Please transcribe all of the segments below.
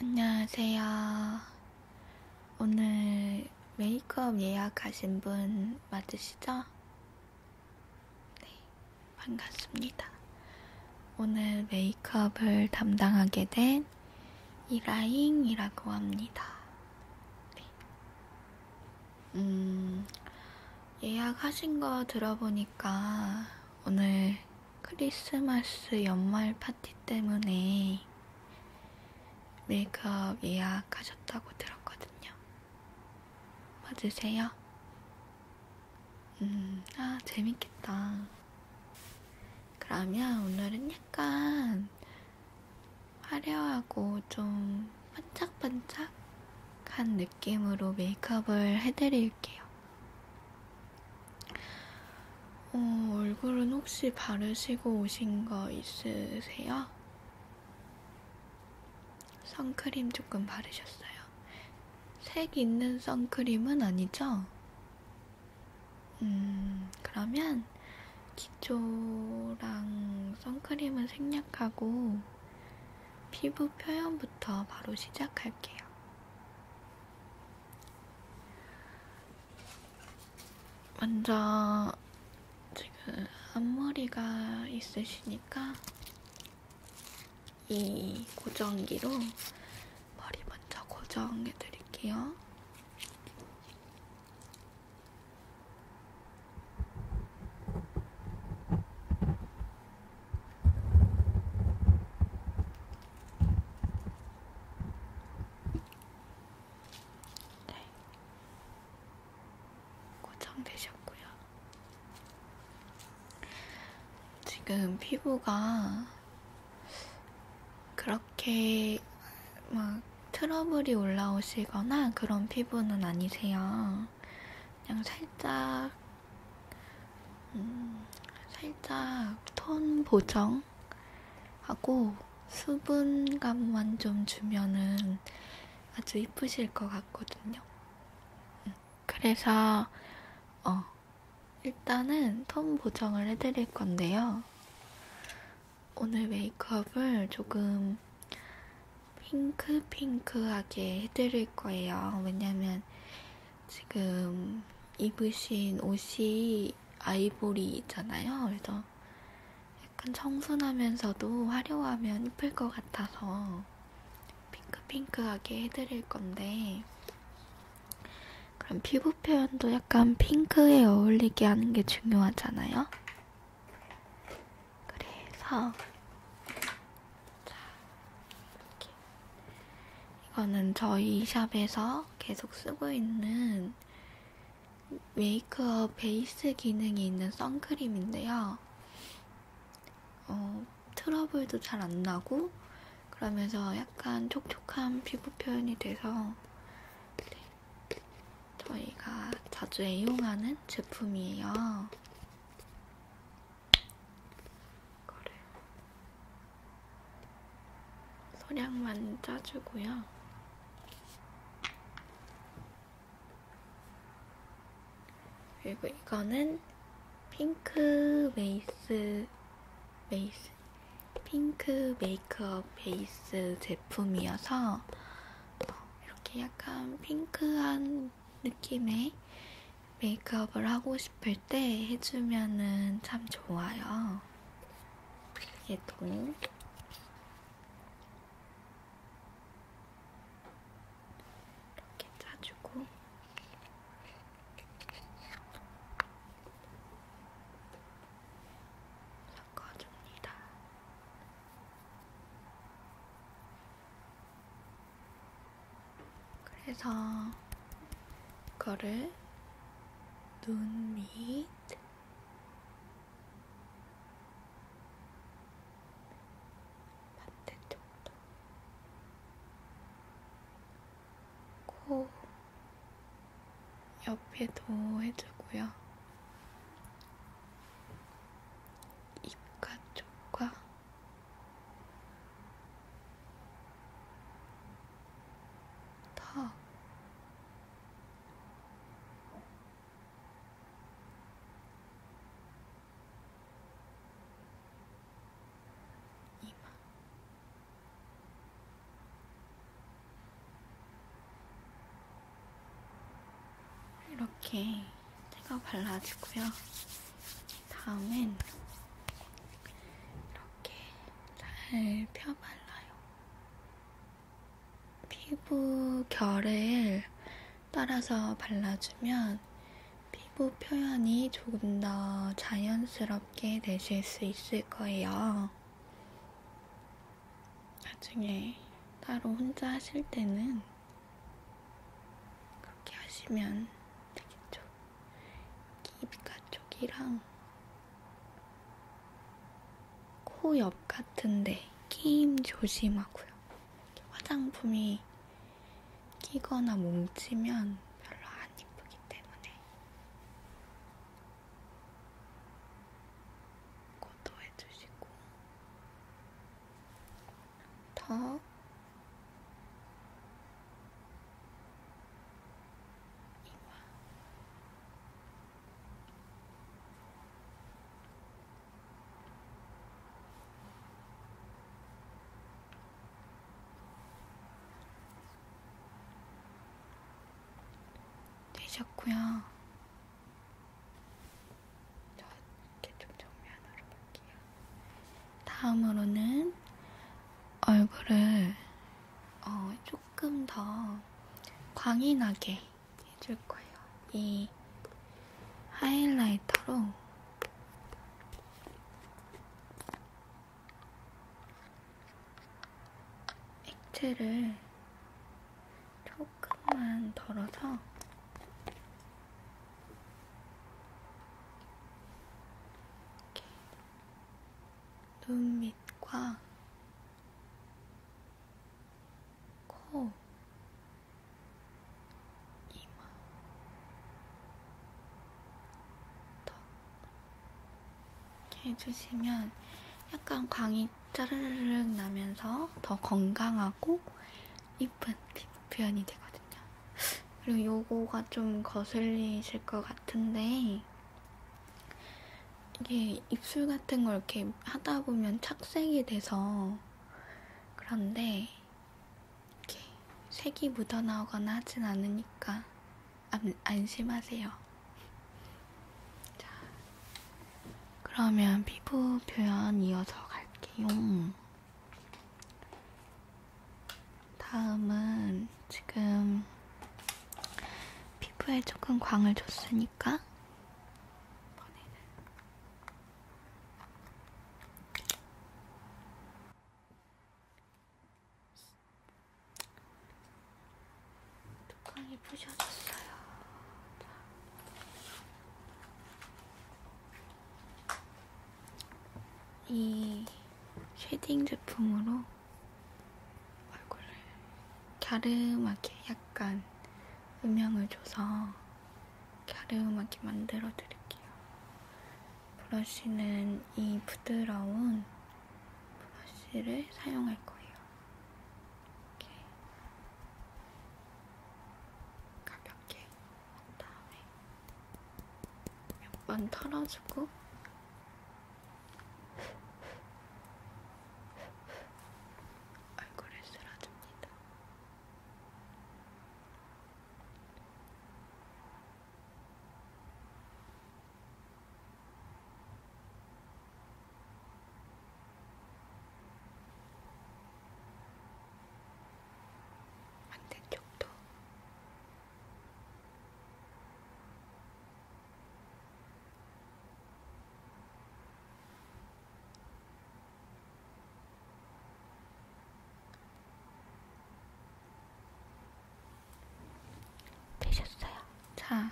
안녕하세요. 오늘 메이크업 예약하신 분 맞으시죠? 네, 반갑습니다. 오늘 메이크업을 담당하게 된 이라잉이라고 합니다. 네. 음, 예약하신 거 들어보니까 오늘 크리스마스 연말 파티 때문에 메이크업 예약하셨다고 들었거든요. 맞으세요? 음, 아, 재밌겠다. 그러면 오늘은 약간 화려하고 좀 반짝반짝한 느낌으로 메이크업을 해드릴게요. 어, 얼굴은 혹시 바르시고 오신 거 있으세요? 선크림 조금 바르셨어요. 색 있는 선크림은 아니죠? 음, 그러면 기초랑 선크림은 생략하고 피부 표현부터 바로 시작할게요. 먼저 지금 앞머리가 있으시니까 이 고정기로 머리 먼저 고정해 드릴게요. 네. 고정되셨고요. 지금 피부가 그렇게 막 트러블이 올라오시거나 그런 피부는 아니세요. 그냥 살짝 음, 살짝 톤 보정하고 수분감만 좀 주면은 아주 이쁘실 것 같거든요. 음, 그래서 어, 일단은 톤 보정을 해드릴 건데요. 오늘 메이크업을 조금 핑크핑크하게 해드릴 거예요. 왜냐면 지금 입으신 옷이 아이보리잖아요. 그래서 약간 청순하면서도 화려하면 이쁠 것 같아서 핑크핑크하게 해드릴 건데 그럼 피부 표현도 약간 핑크에 어울리게 하는 게 중요하잖아요. 그래서 자, 이렇게. 이거는 저희 샵에서 계속 쓰고 있는 메이크업 베이스 기능이 있는 선크림인데요. 어, 트러블도 잘 안 나고, 그러면서 약간 촉촉한 피부 표현이 돼서 저희가 자주 애용하는 제품이에요. 이거를 소량만 짜주고요. 그리고 이거는 핑크 베이스 베이스 핑크 메이크업 베이스 제품이어서 어, 이렇게 약간 핑크한 느낌의 메이크업을 하고 싶을 때 해주면은 참 좋아요. 얘도 이렇게 짜주고 섞어줍니다. 그래서 이거를 눈 밑 반대쪽도 코 옆에도 해주고요. 입가 쪽과 다 이마 이렇게 제가 발라주고요. 다음엔 이렇게 잘 펴발라요. 피부 결을 따라서 발라주면 피부 표현이 조금 더 자연스럽게 되실 수 있을 거예요. 나중에 따로 혼자 하실 때는 그렇게 하시면 되겠죠. 입가 쪽이랑 코 옆 같은데 끼임 조심하고요. 화장품이 끼거나 뭉치면 별로 안 이쁘기 때문에 고도해주시고 턱 되셨고요. 저 이렇게 좀 정면으로 볼게요. 다음으로는 얼굴을 어, 조금 더 광이 나게 해줄 거예요. 이 하이라이터로 액체를 조금만 덜어서 이렇게 눈 밑과 코, 이마, 턱 이렇게 해주시면 약간 광이 짜르르 나면서 더 건강하고 이쁜 피부 표현이 되거든요. 그리고 요거가 좀 거슬리실 것 같은데 이게 입술 같은 걸 이렇게 하다 보면 착색이 돼서 그런데 이렇게 색이 묻어나오거나 하진 않으니까 안, 안심하세요. 자, 그러면 피부 표현 이어서 갈게요. 다음은 지금 피부에 조금 광을 줬으니까 뚜껑이 부셔졌어요. 자. 이 쉐딩 제품으로 얼굴을 갸름하게 약간 음영을 줘서 갸름하게 만들어 드릴게요. 브러쉬는 이 부드러운 브러쉬를 사용할 거예요. 이렇게 가볍게 한 다음에 몇번 털어주고 얼굴을 쓸어줍니다. 반대쪽도 되셨어요. 자,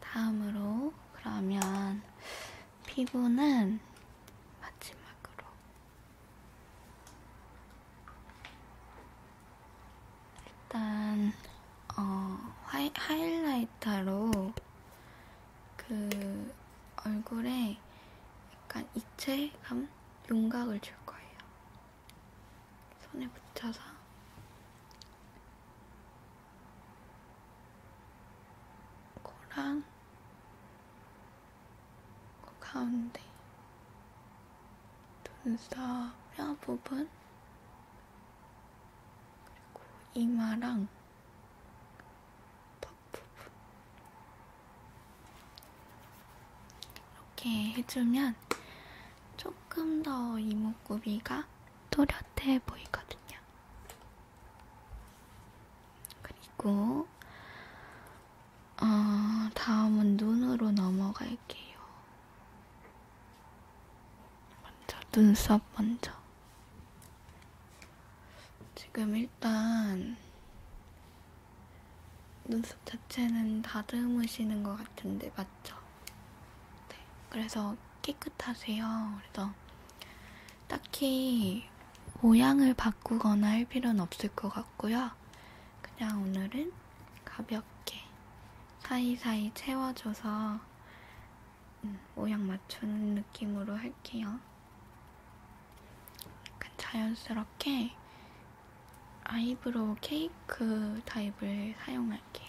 다음으로 그러면 피부는 마지막으로 일단 어, 하이, 하이라이터로 그 얼굴에 약간 입체감, 윤곽을 줄 거예요. 손에 붙여서 코랑 그 가운데 눈썹 뼈 부분 그리고 이마랑 턱 부분 이렇게 해주면 조금 더 이목구비가 또렷해 보이거든요. 그리고 어, 다음은 눈으로 넘어갈게요. 먼저 눈썹 먼저. 지금 일단 눈썹 자체는 다듬으시는 것 같은데 맞죠? 네, 그래서 깨끗하세요. 그래서 딱히 모양을 바꾸거나 할 필요는 없을 것 같고요. 그냥 오늘은 가볍게 사이사이 채워줘서 음, 모양 맞추는 느낌으로 할게요. 약간 자연스럽게 아이브로우 케이크 타입을 사용할게요.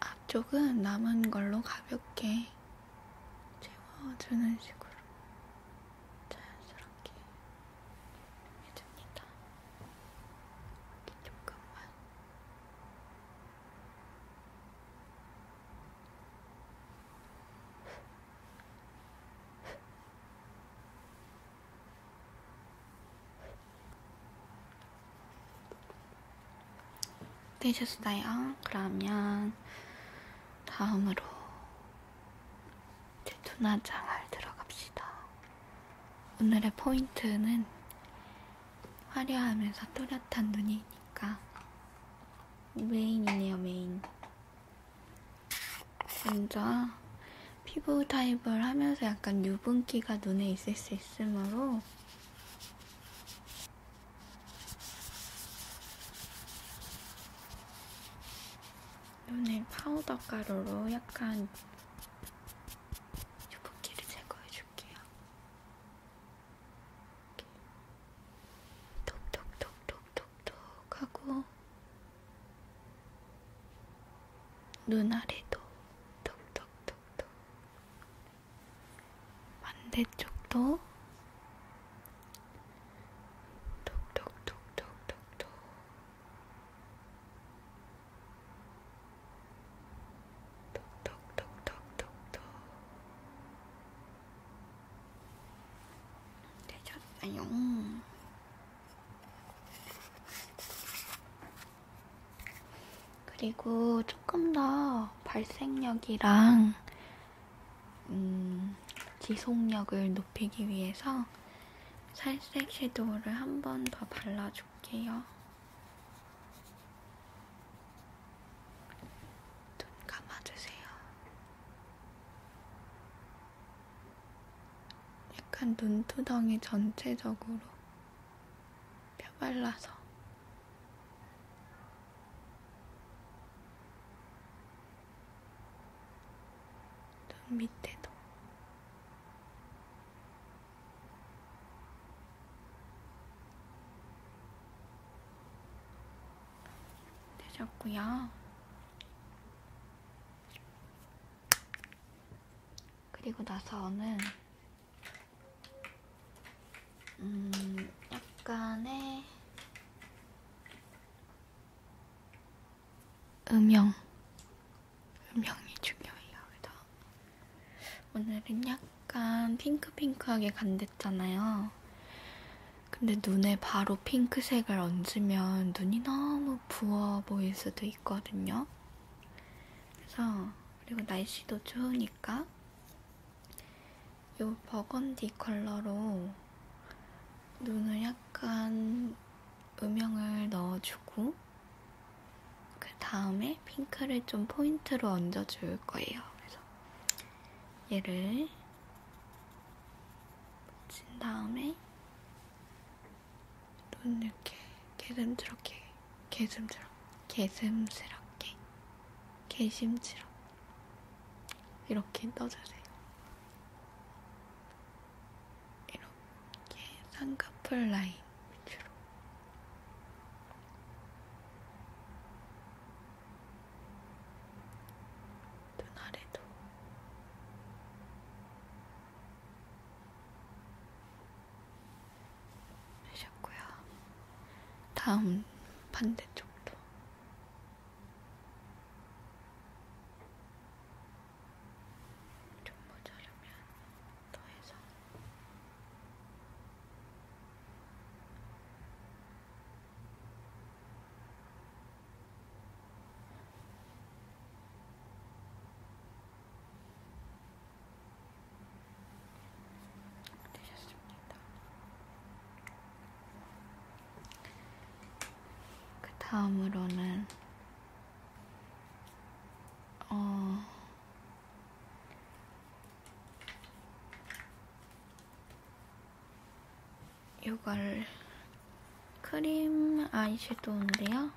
앞쪽은 남은 걸로 가볍게 채워주는 식으로 자연스럽게 해줍니다. 여기 조금만. 되셨어요? 그러면 다음으로 제 눈화장을 들어갑시다. 오늘의 포인트는 화려하면서 또렷한 눈이니까 메인이네요, 메인. 먼저 피부 타입을 하면서 약간 유분기가 눈에 있을 수 있으므로 오늘 파우더 가루로 약간 유분기를 제거해줄게요. 톡톡톡톡톡톡 하고 눈 아래도 톡톡톡톡 반대쪽도 톡톡톡톡톡톡 톡톡톡톡톡톡 되셨어요. 그리고 조금 더 발색력이랑 음, 지속력을 높이기 위해서 살색 섀도우를 한 번 더 발라줄게요. 눈 감아주세요. 약간 눈두덩이 전체적으로 펴발라서 눈 밑에도 되셨고요. 그리고 나서는 음, 약간의 음영, 음영이 중요해요. 그래서 오늘은 약간 핑크핑크하게 간댔잖아요. 근데 눈에 바로 핑크색을 얹으면 눈이 너무 부어 보일 수도 있거든요. 그래서 그리고 날씨도 좋으니까. 있으니까 이 버건디 컬러로 눈을 약간 음영을 넣어주고 그 다음에 핑크를 좀 포인트로 얹어줄 거예요. 그래서 얘를 묻힌 다음에 눈 이렇게 개름스럽게 개슴스럽, 개슴스럽게, 개심스럽 이렇게 떠주세요. 이렇게 쌍꺼풀 라인 위주로 눈 아래도 하셨고요. 다음 반대쪽도 좀 모자르면 더해서 되셨습니다. 그 다음으로는 어 이걸 크림 아이섀도우인데요.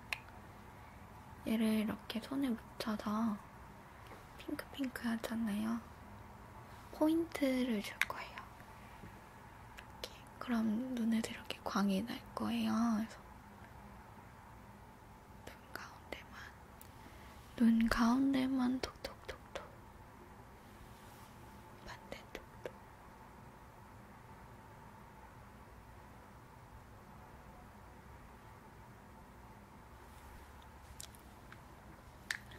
얘를 이렇게 손에 묻혀서 핑크핑크 하잖아요. 포인트를 줄 거예요. 이렇게. 그럼 눈에도 이렇게 광이 날 거예요. 그래서 눈 가운데만, 눈 가운데만 톡톡톡톡. 반대쪽도.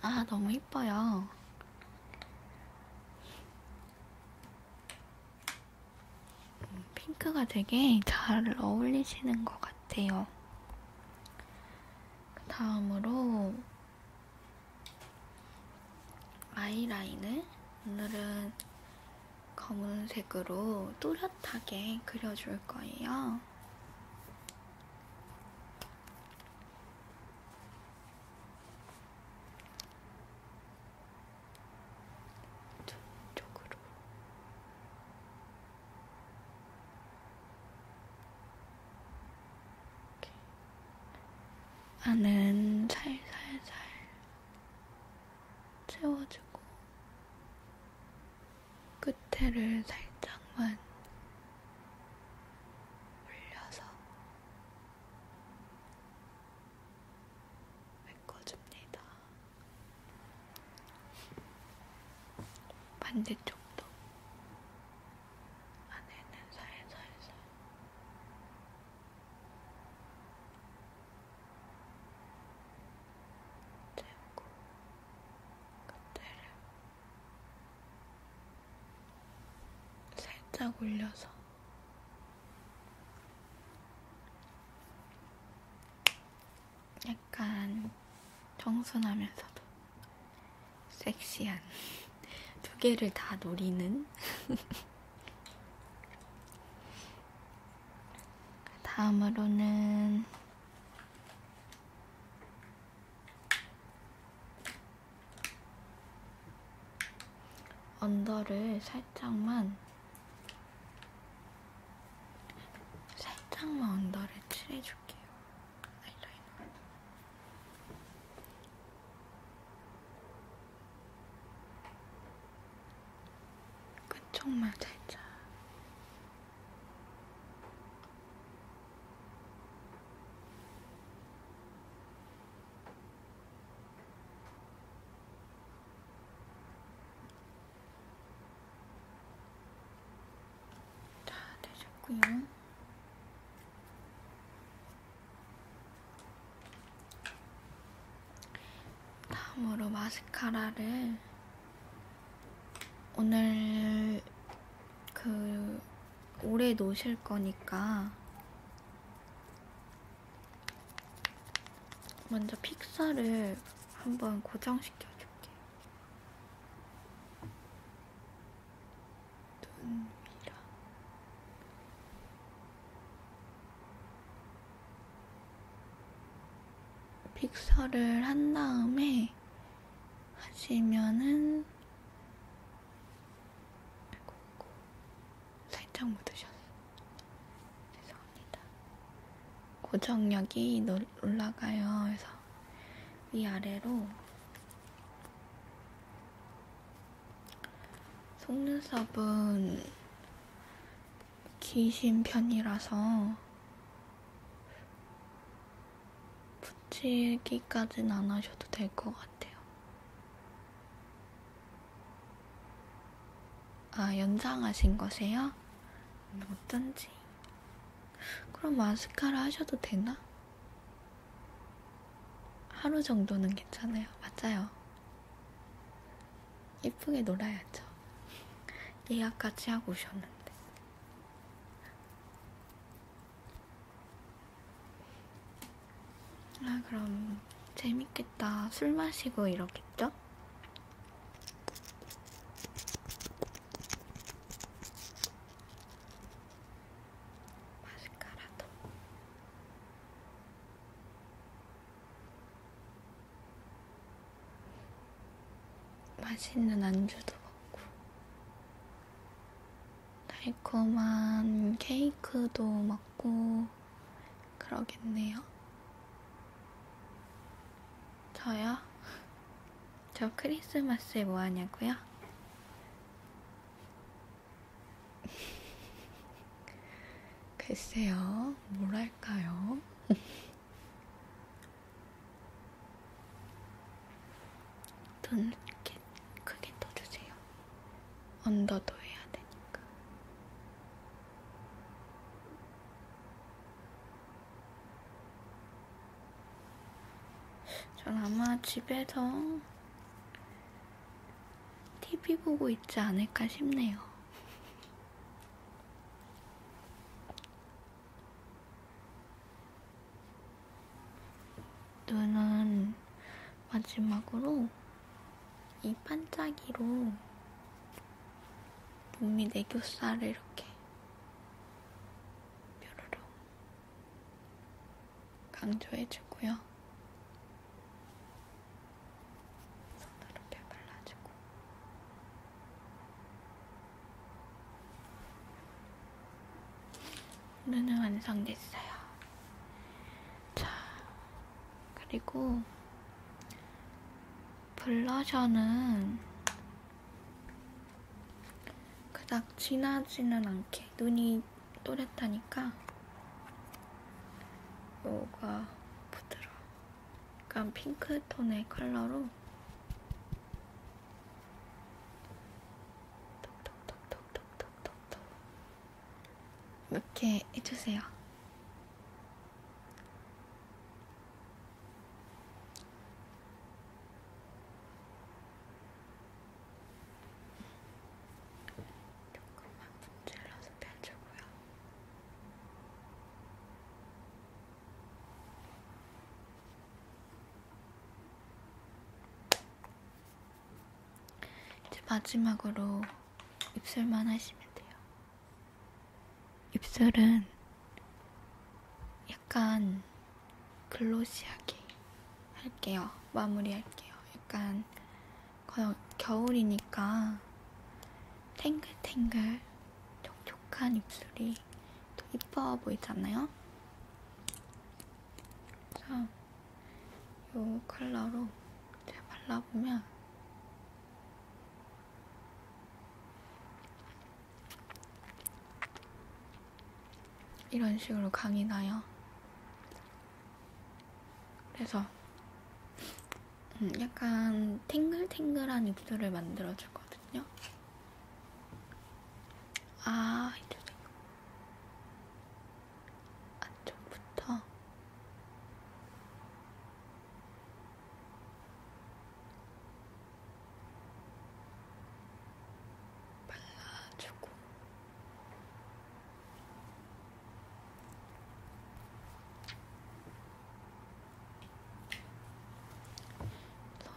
아, 너무 이뻐요. 음, 핑크가 되게 잘 어울리시는 것 같아요. 그 다음으로 아이라인을 오늘은 검은색으로 또렷하게 그려줄 거예요. 눈 쪽으로 이렇게. 안은 살살살 채워주고 끝에를 살짝만 올려서 메꿔줍니다. 반대쪽도 안에는 살살살 재우고 겉대를 살짝 올려서 약간 청순하면서도 섹시한 두 개를 다 노리는 다음으로는 언더를 살짝만 살짝만 언더를 칠해줄게요. 아이라이너. 끝쪽만 살짝 다 되셨고요. 다음으로 마스카라를 오늘 그 오래 노실 거니까 먼저 픽사를 한번 고정시켜 줄게요. 눈 위라. 픽서를 한 다음에 하시면은 아이고, 아이고. 살짝 묻으셨어요. 죄송합니다. 고정력이 올라가요. 그래서 위아래로 속눈썹은 기신 편이라서 붙이기까진 안 하셔도 될 것 같아요. 아, 연장하신 거세요? 음, 어쩐지. 그럼 마스카라 하셔도 되나? 하루 정도는 괜찮아요. 맞아요. 예쁘게 놀아야죠. 예약까지 하고 오셨는데. 아 그럼 재밌겠다. 술 마시고 이러겠죠? 마스카라도. 맛있는 안주도 먹고 달콤한 케이크도 먹고 그러겠네요. 저요? 저 크리스마스에 뭐 하냐고요? 글쎄요, 뭘 할까요? 눈 이렇게 크게 떠주세요. 언더도 해야 되니까. 전 아마 집에서 TV 보고 있지 않을까 싶네요. 눈은 마지막으로 이 반짝이로 눈밑 애교살을 네 이렇게 뾰로로 강조해주고요. 손으로 이렇게 발라주고 눈은 완성됐어요. 자, 그리고 블러셔는 그닥 진하지는 않게 눈이 또렷하니까 요가 부드러워. 약간 핑크톤의 컬러로 몇개 해주세요. 조금만 분질러서 펴주고요. 이제 마지막으로 입술만 하시면 돼요. 입술은 약간 글로시하게 할게요. 마무리할게요. 약간 겨울이니까 탱글탱글 촉촉한 입술이 더 이뻐 보이지 않나요? 그래서 이 컬러로 제가 발라보면 이런 식으로 강이 나요. 그래서 음, 약간 탱글탱글한 입술을 만들어주거든요. 아, 이제 안쪽부터 발라주고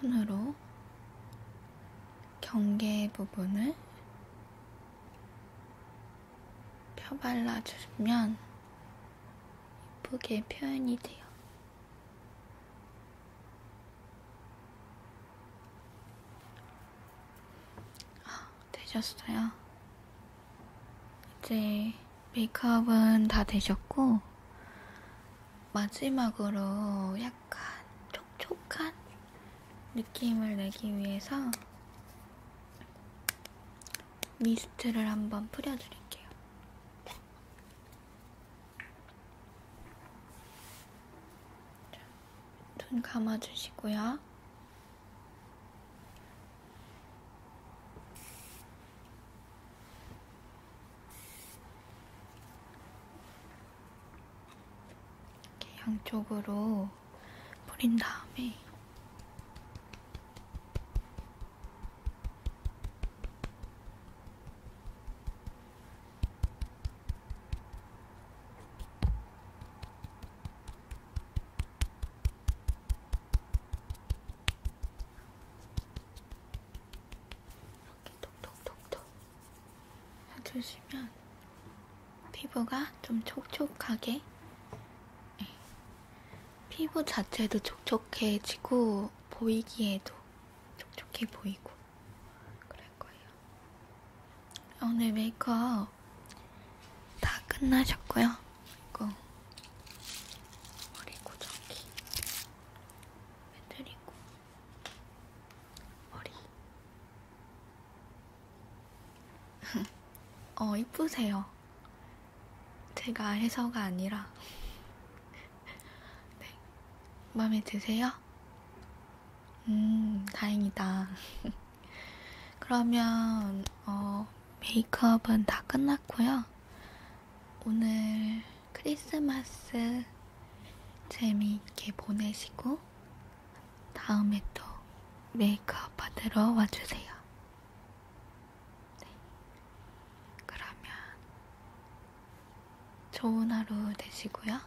손으로 경계 부분을 펴발라 주면 예쁘게 표현이 돼요. 아, 되셨어요. 이제 메이크업은 다 되셨고 마지막으로 약 약간 촉촉한 느낌을 내기 위해서 미스트를 한번 뿌려드릴게요. 눈 감아주시고요. 이렇게 양쪽으로 뿌린 다음에 이렇게 톡톡톡톡 해주시면 피부가 좀 촉촉하게 네. 피부 자체도 촉촉해지고 보이기에도 촉촉해 보이고 그럴 거예요. 오늘 메이크업 다 끝나셨고요. 이거 머리 고정기 해드리고 머리 어 이쁘세요. 제가 해서가 아니라 네 마음에 드세요? 음 다행이다. 그러면 어 메이크업은 다 끝났고요. 오늘 크리스마스 재미있게 보내시고 다음에 또 메이크업 받으러 와주세요. 네. 그러면 좋은 하루 되시고요.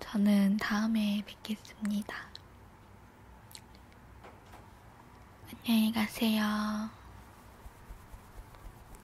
저는 다음에 뵙겠습니다. 안녕히 가세요.